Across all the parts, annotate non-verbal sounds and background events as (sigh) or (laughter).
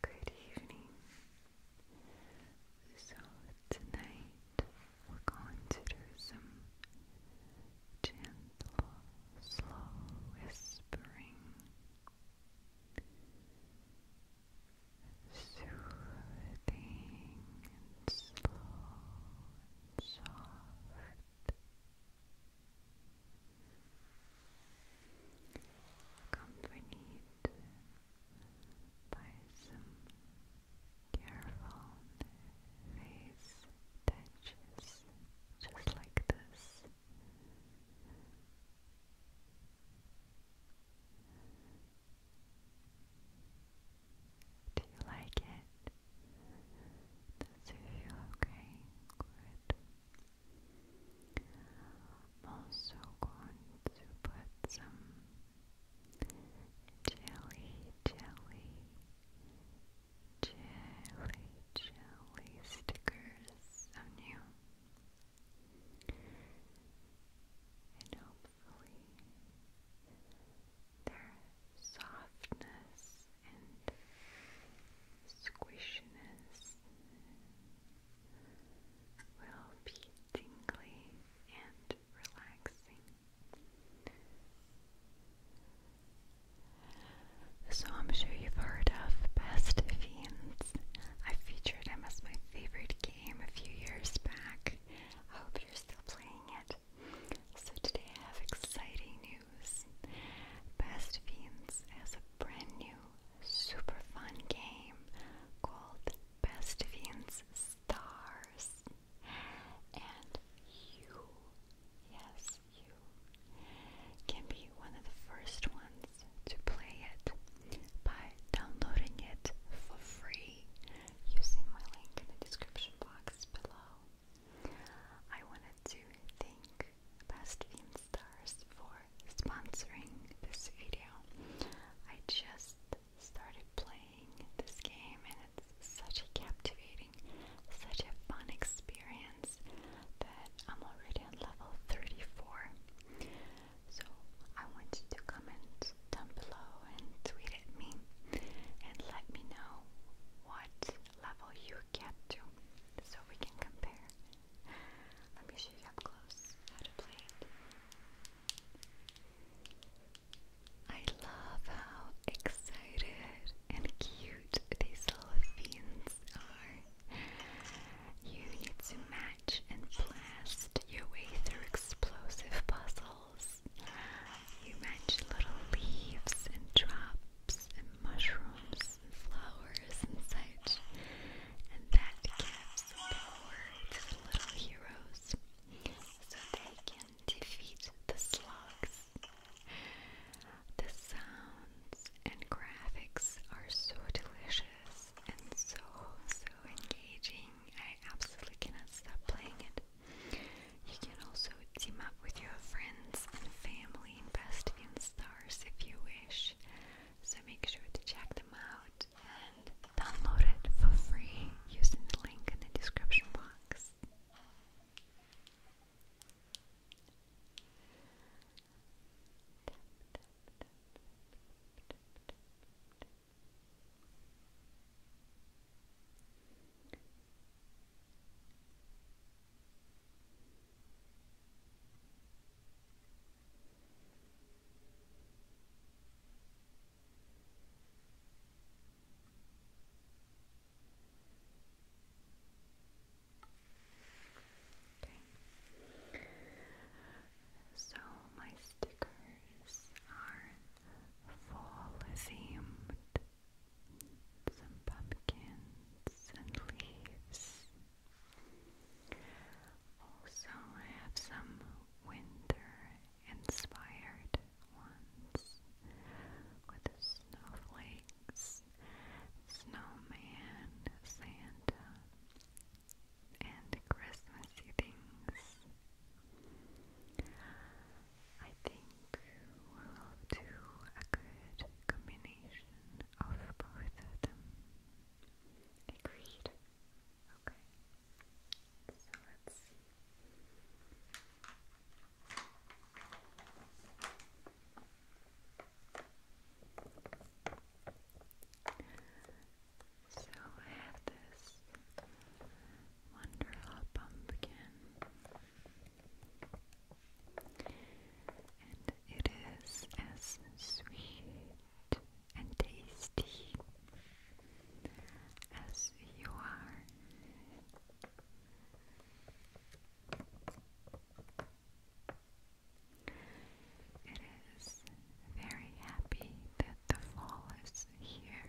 Good evening. So, tonight we're going to do some gentle, slow whispering, soothing slow soft accompanied by some careful face touches, just like this. Do you like it? Does it feel okay? Good. I'm also going to put some jelly, jelly, jelly, jelly stickers on you. And hopefully their softness and squishiness will be tingly and relaxing. So, I'm sure you've heard of Best Fiends. I featured them as my favorite game a few years back. I hope you're still playing it. So, today I have exciting news. Best Fiends has a brand new, super fun game called Best Fiends Stars. And you, yes, you, can be one of the first ones to play it by downloading it for free using my link in the description box below. I wanted to think. Best Stars for sponsoring this video. I just started playing this game and it's such a captivating, such a fun experience that I'm already on level 34. So I want to comment down below and tweet at me and let me know what level you get to so we can compare let me show you up close how to play I love how excited and cute these little fiends are. You need to match and blast your way through explosive puzzles. You match little leaves and drops and mushrooms and flowers and such, and that gives the little heroes so they can defeat the slugs. The sounds and graphics are so delicious and so, so engaging. I absolutely cannot stop playing it. You can also team up with your friends and family in Best in Stars if you wish. So make sure to check them out and download it for free using the link in the description box. Okay. So my stickers are fall themed some pumpkins and leaves. Also, I have some winter inspired ones with snowflakes, snowman, Santa, and Christmassy things. I think we will do a good combination combination of So I have this Wonderful Pumpkin and it is as sweet and tasty as you are. It is very happy that the fall is here,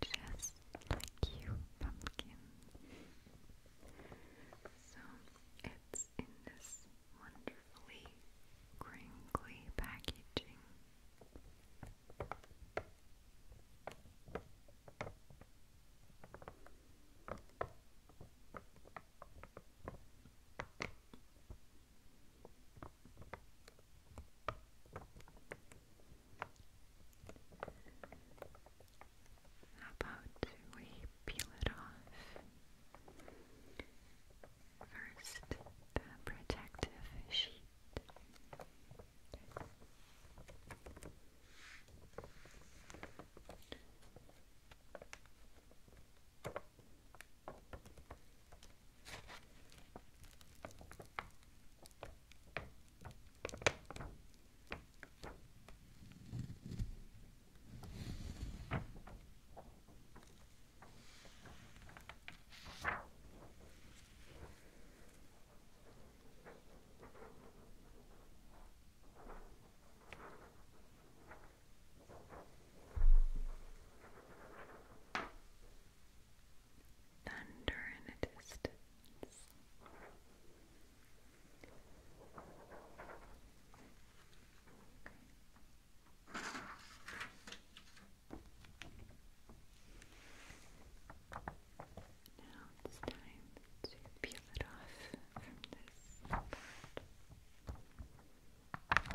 just like you, pumpkin. So it's in this wonderfully crinkly packaging. How about we peel it off? First, the protective sheet. Thunder in the distance. Now it's time to peel it off from this part. Okay.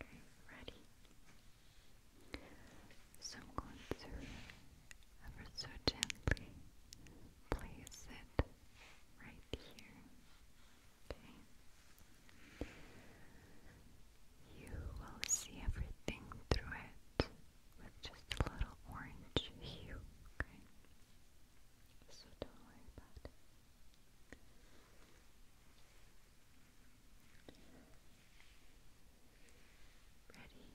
Okay, ready. So I'm going to ever so gently place it right here. Okay. You will see everything through it with just a little orange hue, okay? So don't worry about it. Ready? Okay. Okay.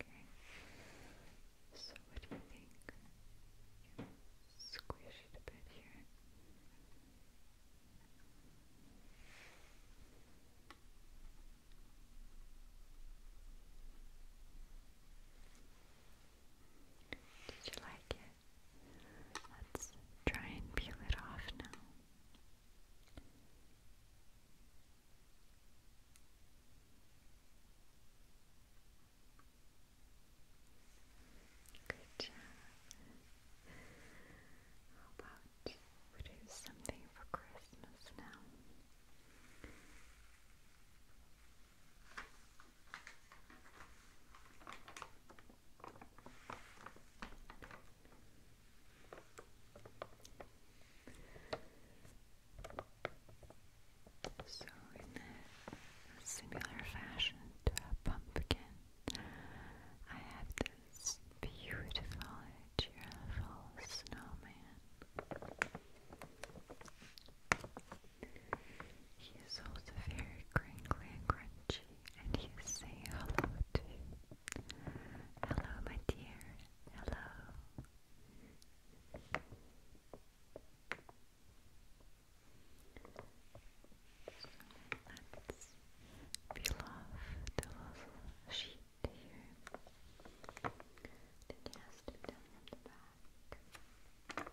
Okay. So what do you think? You squish it a bit here. Okay. Did you like it? Let's try and peel it off now. Good job. How about we do something for Christmas now? So, in similar fashion to a pumpkin, I have this beautiful, cheerful snowman. He's is also very crinkly and crunchy, and he is saying hello to you. Hello, my dear. Hello. let's peel off the little sheet here digestive down at the back. All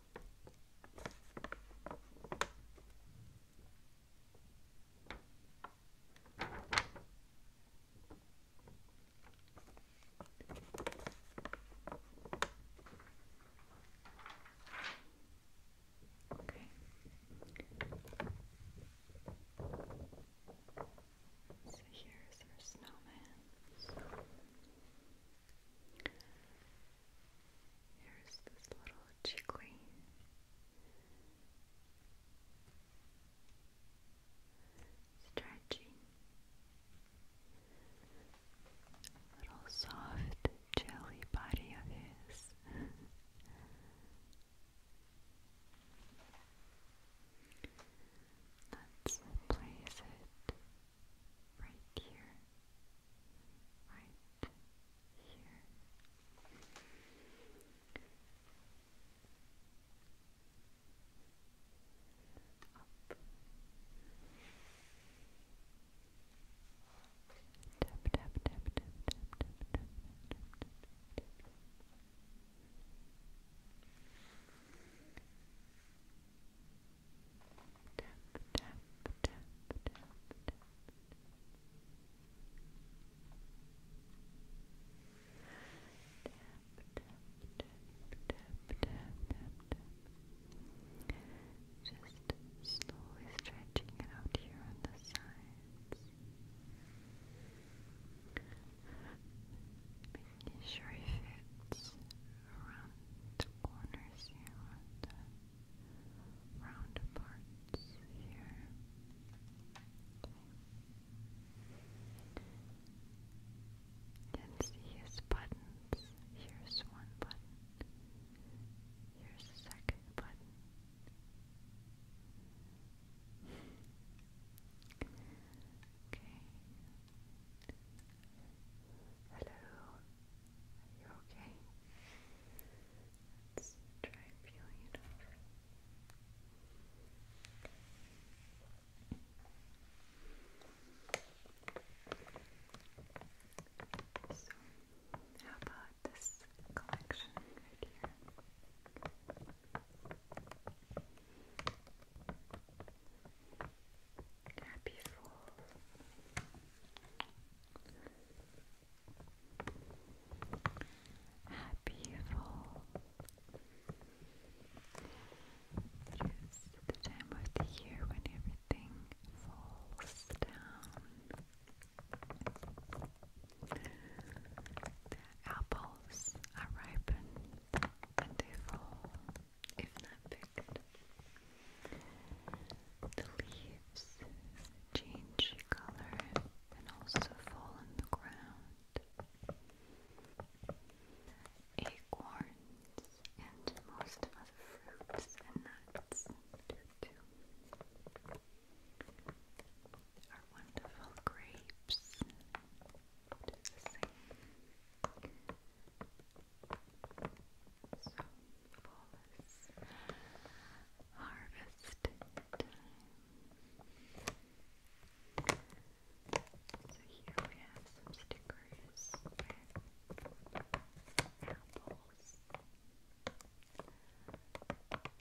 Okay. So here's our snowman. Here's this little chickweed. Stretchy, little soft jelly body of his. Let's place it right here right here. Up. Tap tap tap tap tap tap tap tap tap tap tap. Tap tap, tap, Just slowly stretching it out here on the sides. Making sure it fits around the corners here on round parts here. Okay. You can see his buttons. Here's one button. Here's the second button. Okay. Hello, are you okay? Let's try So, how about this collection right here? Happy Fool, Happy fall. It is the time of the year when everything falls down. The apples are ripened and they fall, if not picked. The leaves change color and also fall on the ground. Acorns and most other fruits and nuts do too. Our wonderful grapes do the same. So, flawless harvest time. So, here we have some stickers apples,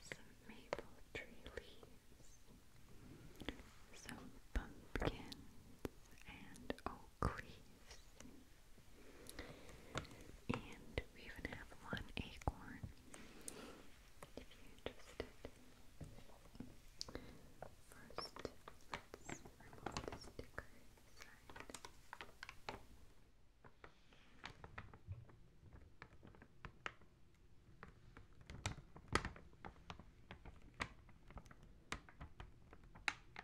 some maple tree leaves, some pumpkins, and oak leaves. And we even have one acorn if you're interested. First, let's remove the sticker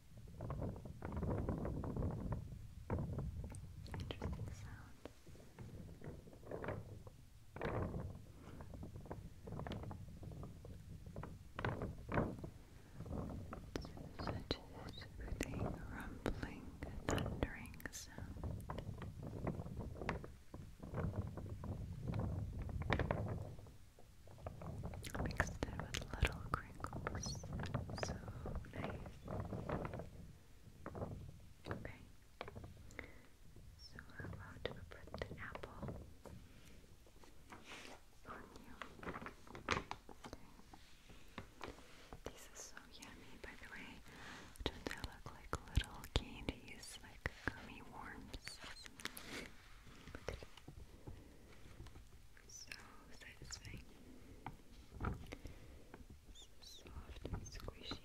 Interesting sound. Such a soothing, rumbling, thundering sound. Mixed with little crinkles. So nice. Okay. So we about to put the apple on you. These are so yummy, by the way. Don't they look like little candies, like gummy worms? So satisfying. So soft and squishy.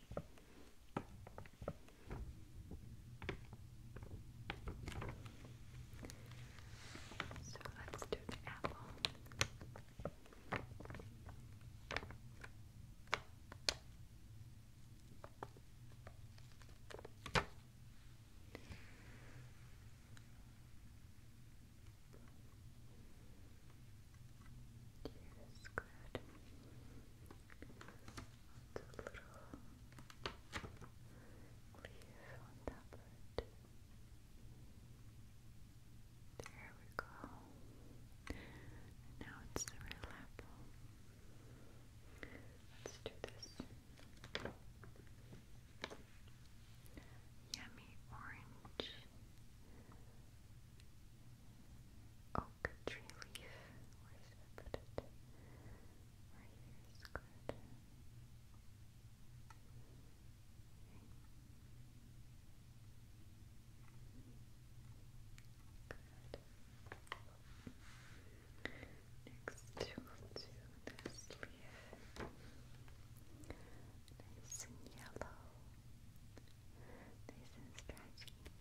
So let's do the apple. Yes, good. Put a little leaf on top of it. There we go. now it's the real apple. Let's do this. Yummy orange, oak tree leaf. Where should I put it? Right here is good. Next, we'll Nice and yellow. Nice and stretchy.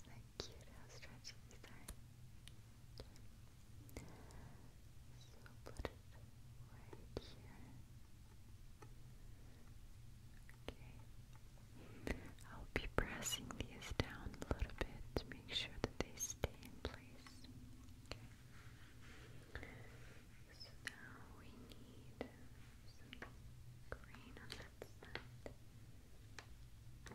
Isn't cute how stretchy these are? Okay. So put it here. Okay. I'll be pressing these down a little bit to make sure that they stay in place place. Okay. So now we need some green on that side. We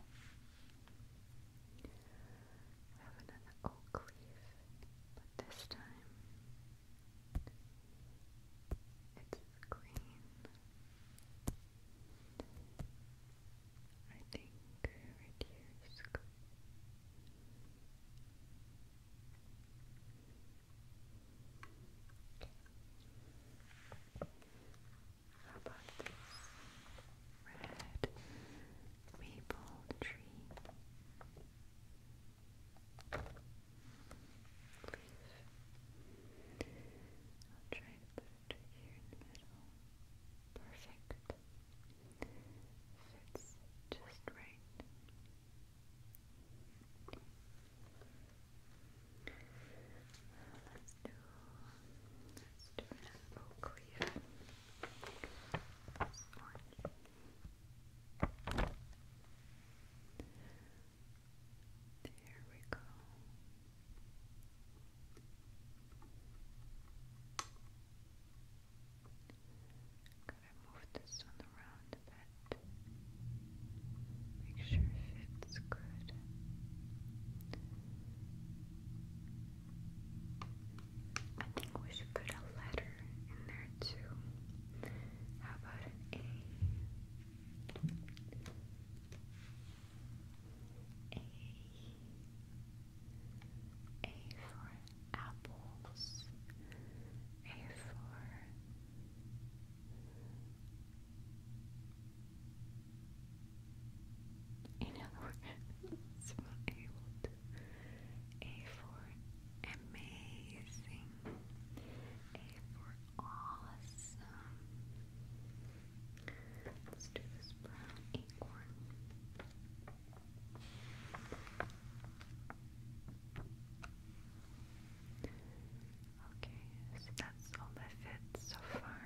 have another oak leaf, but this time it's green. I think right here is good. How about this red maple tree leaf? I'll try to put it here in the middle. Perfect. Fits just right. Let's do let's do an oak leaf. There we go. Gotta move this one around a bit. Make sure it fits good. I think we should put a letter in there too. How about an A? A. A for apples, A for in other (laughs) A for amazing, A for awesome, Let's do this brown acorn. Okay, so that's all that fits so far.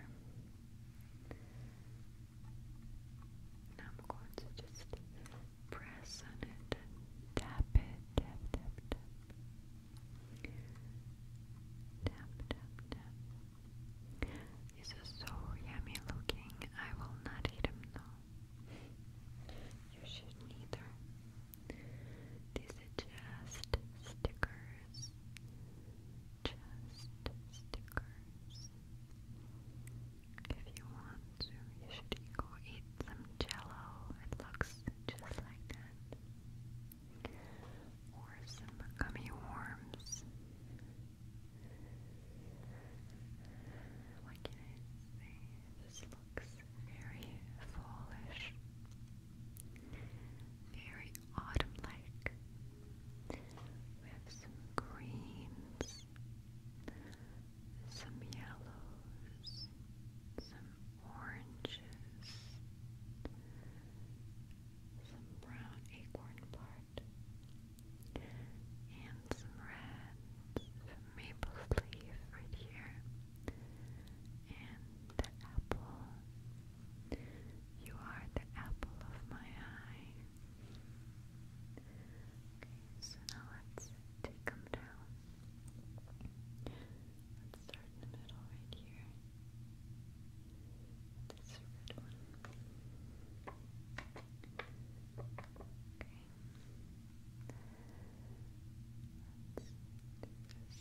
Now I'm going to just press on it tap it, tap, tap, tap. Tap, tap, tap. This is so yummy looking. I will not eat them though. You shouldn't These are just stickers. Just stickers. If you want to, you should go eat some jello. It looks just like that or some gummy worms. What can I say? This looks very fallish, very autumn like. We have some greens, some yellows, some oranges. Some brown acorn bark and some red maple leaf right here, and the apple. You are the apple of my eye. so now let's take them down. Let's start in the middle right here. This red one. Okay. Let's do this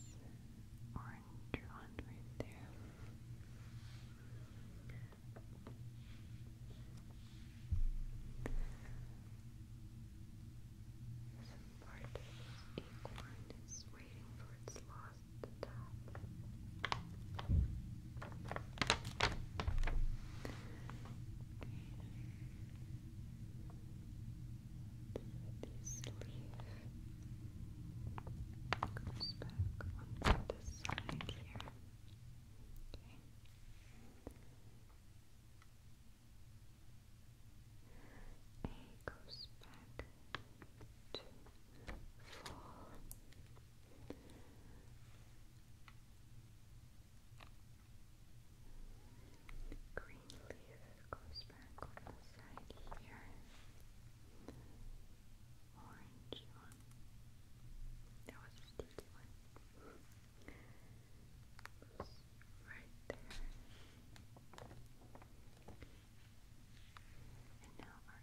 orange one right there. Some part of this acorn is waiting for its log across the This leaf goes back on this side here. Okay. goes back to fall. Green leaf goes back on the side here. Orange one. That was a sticky one. right there. And now our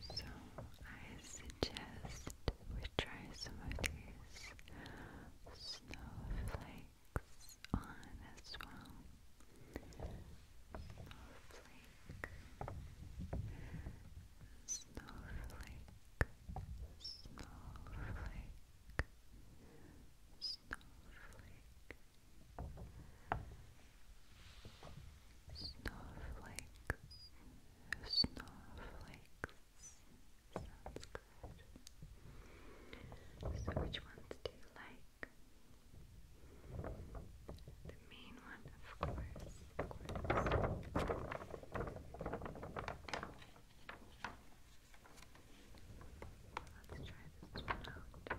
So I suggest we try some of these snowflakes on as well. Snowflake, snowflake, snowflake, snowflake, Snowflakes, snowflakes. Sounds good. So, which ones do you like? The main one, of course. Let's try this one out.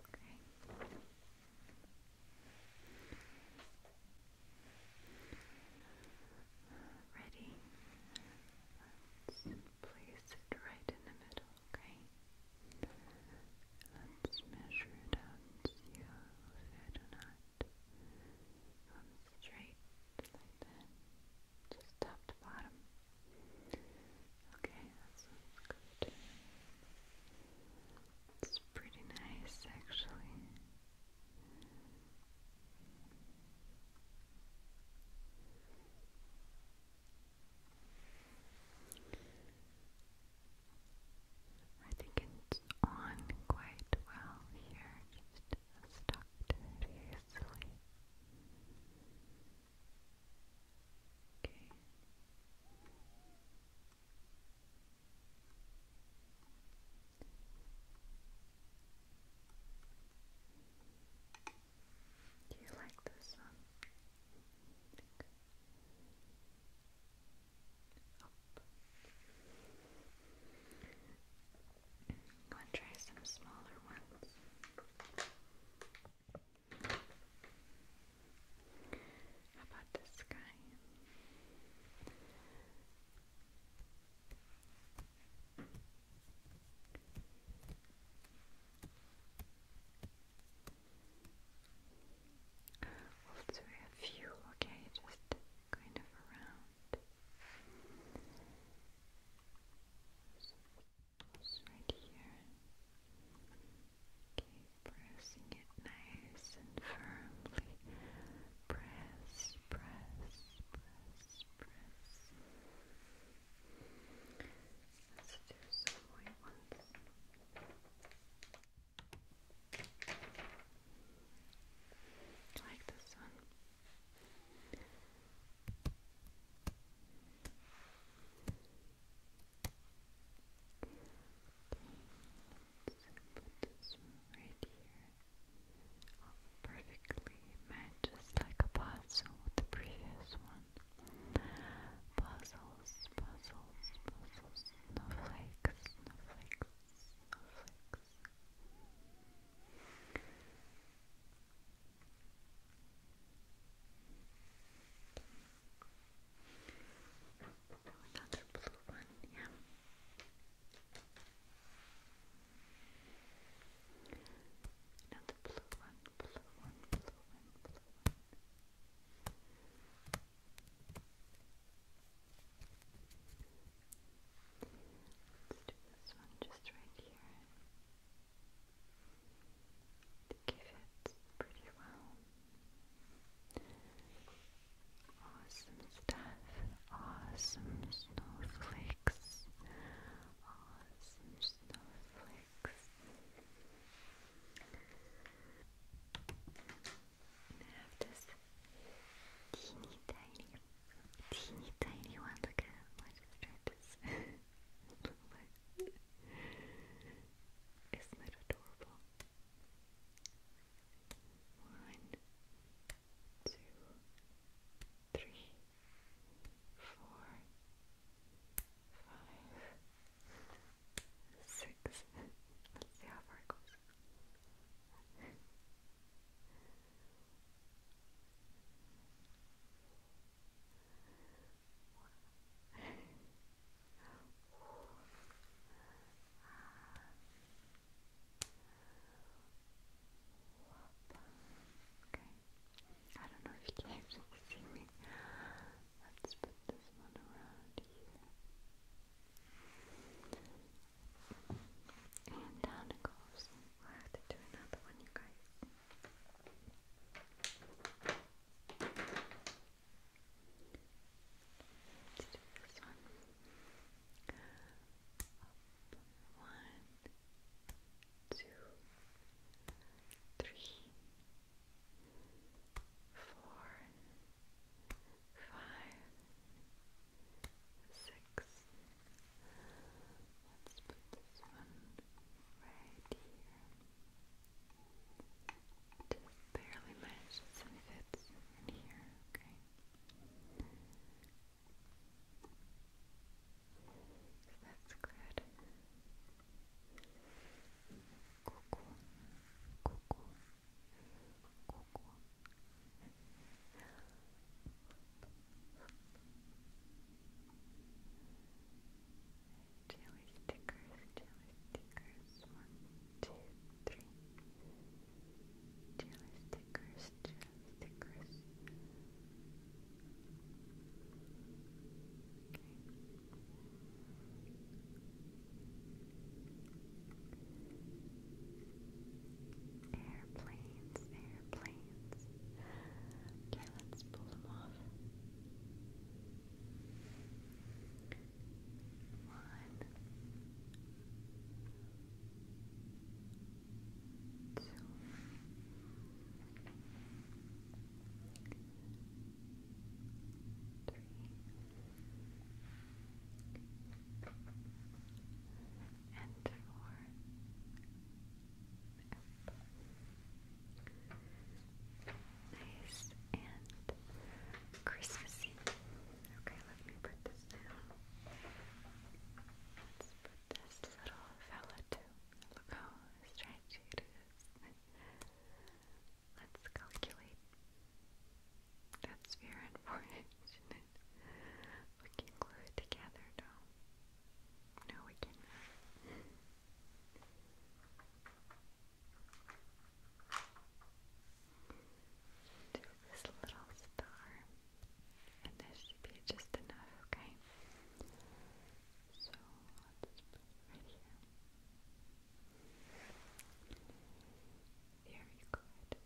Okay. Ready? Let's place it right in the middle, okay? Let's measure it out and see how fit or not. straight Just top to bottom. Okay, that good. It's pretty nice actually. I think it's on quite well here, just stuck easily. Okay. Do you like this one? Up. i try some smaller ones. How about this guy? We'll few, okay, just kind of around. Just right here. Keep pressing it nice and firmly. Press, press, press, press. Let's do some white ones. Like this one put this right here. perfectly matches like a puzzle with the previous one. Puzzles, puzzles, puzzles, snowflakes, snowflakes, snowflakes. Another blue one, yeah. Another blue one, blue one, blue one, Let's do this one just right here. They give it pretty well. Awesome stuff. Awesome snowflakes. Awesome snowflakes. I have this teeny tiny, teeny tiny one. (laughs) Look at isn't it adorable? One, two, three, four, five, six. Let's see how far it goes. One, Okay. I don't know if you can see me. Let's put this one around here. And down it goes. We'll have to do another one, you guys. Let's do this one. one, two, three, Let's put this one right here. barely matches and fits in here, okay? So that's good. Cuckoo, cuckoo, cuckoo. Jelly stickers, jelly stickers, one, two, three. Jelly stickers, jelly stickers. Airplanes, airplanes sides. Okay, let's pull them off. One, two, three. And four, up. Nice and Christmassy. Okay, let me put this down. Let's put this little fella too. Look how stretchy it is. Let's calculate. That's fear and 4 glue it together now. No, we can. Do this little star, and this should be just enough, okay? So let's put it right here. Very good.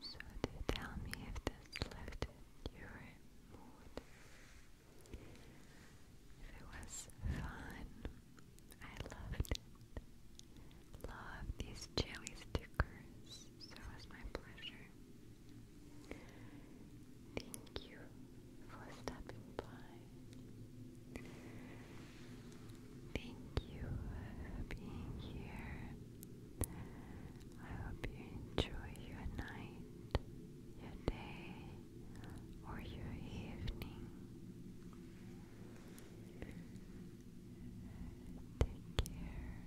So do tell me if this lifted your mood. If it was fun, I loved it. Love these jelly stickers. So it was my pleasure. Thank you for stopping by. Thank you for being here. I hope you enjoy your night, your day, or your evening. Take care.